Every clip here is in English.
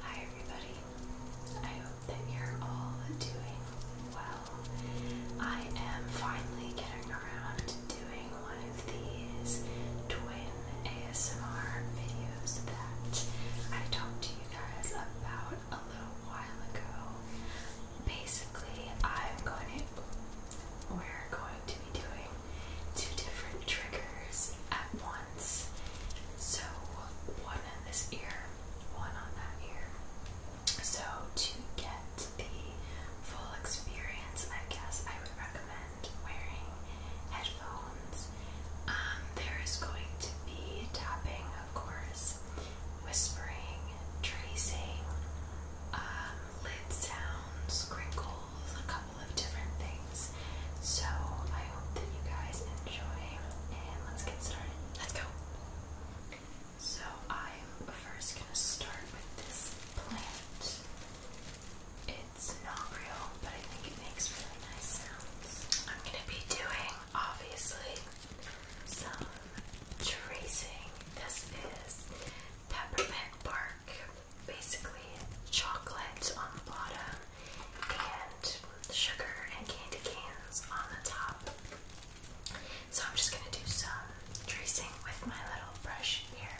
Hi, everybody. I hope that you're all doing well. I am finally getting around to doing one of these twin ASMR videos that I talked to you guys about a little a while ago. Basically, I'm going to, we're going to be doing two different triggers at once. So, one on this ear, one on that ear. So, to get the full experience, I guess I would recommend wearing headphones. Um, there is going to be tapping, of course whispering, tracing, um, lid sounds, crinkles, a couple of different things. So I hope that you guys enjoy, and let's get started. Let's go. So I'm first gonna start with this plant. It's not real, but I think it makes really nice sounds. I'm gonna be doing, obviously, some tracing. This is peppermint bark, basically chocolate on the bottom, and sugar and candy canes on the top. So I'm just going to do some tracing with my little brush here.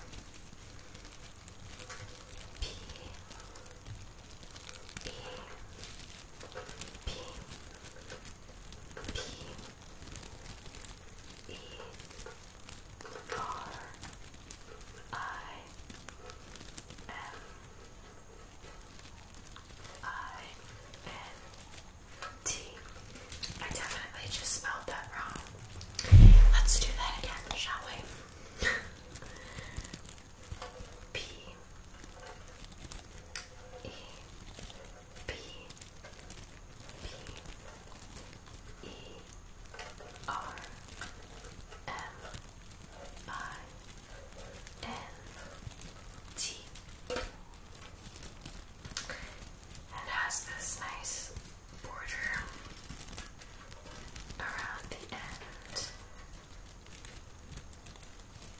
P P P P E R I M I N T. I definitely just spelled that wrong. Let's do that again, shall we? P E P P E R M I N T and has this nice border around the end.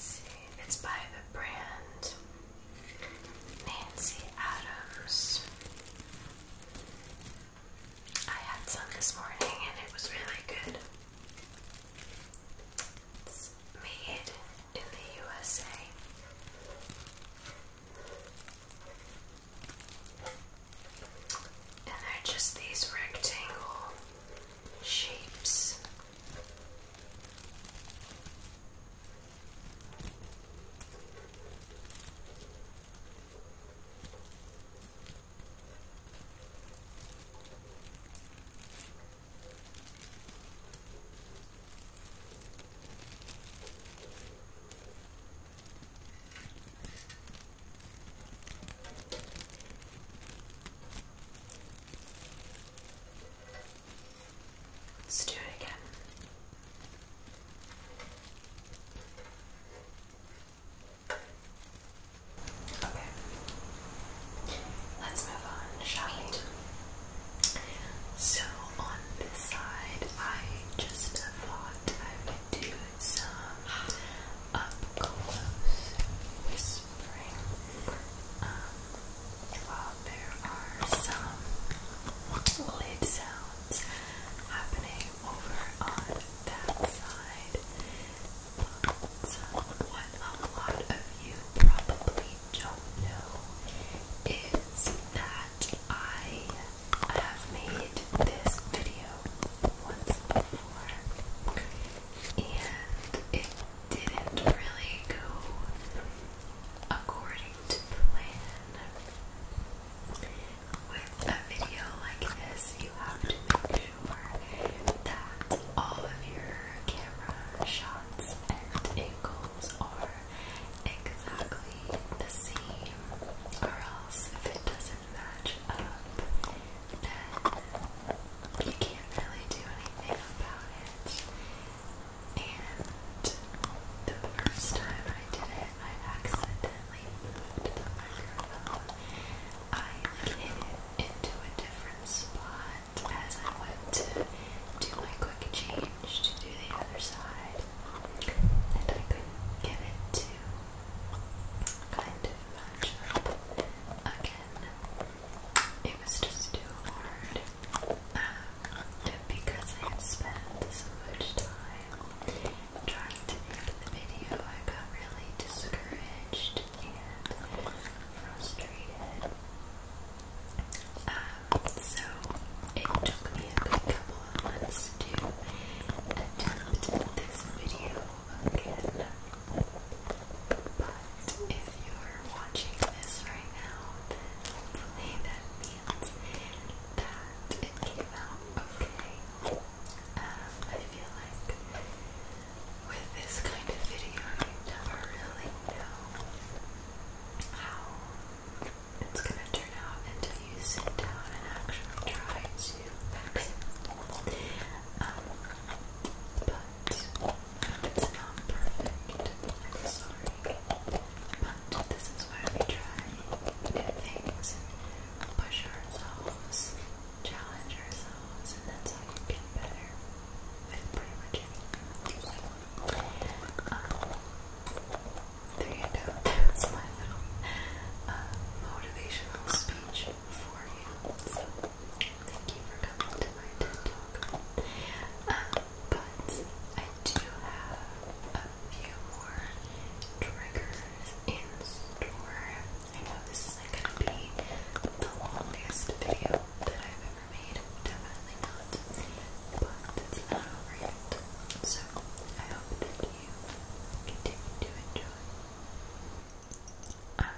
see, it's by the brand Nancy Adams. I had some this morning and it was really good. made in the USA. And they're just these rectangle shapes. Let's do it again. Okay. Let's move on, shall So on this side, I just thought I would do some up close whispering. Um, while there are some lid sounds happening over on that side, what a lot of you probably don't know is that I I have made this video once before and it didn't really go according to plan. With a video like this, you have to make sure that all of your camera shots and angles are exactly the same, or else if it doesn't match up, then you can't really do anything about it. And the first time I did it, I accidentally moved the microphone. I hit it into a different spot as I went to do my quick change to do the other side and I couldn't get it to kind of match up again. It was just too hard um, because I had spent so much time trying to make the video. I got really discouraged and frustrated. Um, so it took me a good couple of months to attempt this video again. But if you're watching this right now, hopefully that means that it came out okay. Um, I feel like with this kind of video, you never really know how it's going to turn out until you sit down and actually try to um, but it's not perfect. I'm sorry. But this is why we try new things and push ourselves, challenge ourselves, and that's how you get better with pretty much anything. Um, there my little uh, motivational speech for you. So, thank you for coming to my TED Talk. Uh, but I do have a few more triggers in store. I know this is going to be the longest video that I've ever made. Definitely not but it's not over yet. So I hope that you continue to enjoy. I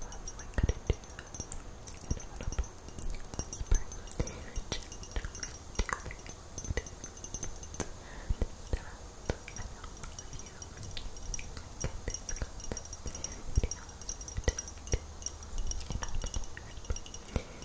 probably couldn't do an audible whisper just to that I know all of you get this content. An audible whisper.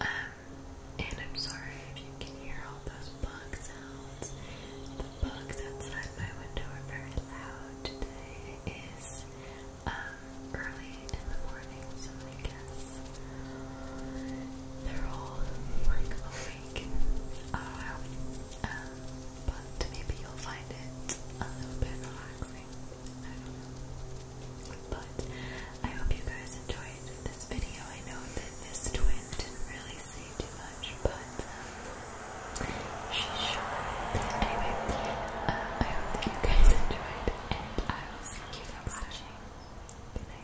Um, and I'm sorry if you can hear all those bug sounds. The bugs outside my window are very loud. Today is um, early in the morning, so I guess they're all like awake. Oh uh, well. Um, but maybe you'll find it a little bit relaxing. I don't know. But I hope you guys enjoyed this video. I know that this twin didn't really say too much, but um, she sure. Anyway, uh, I hope that you guys enjoyed, and I will see you guys watching. Good night.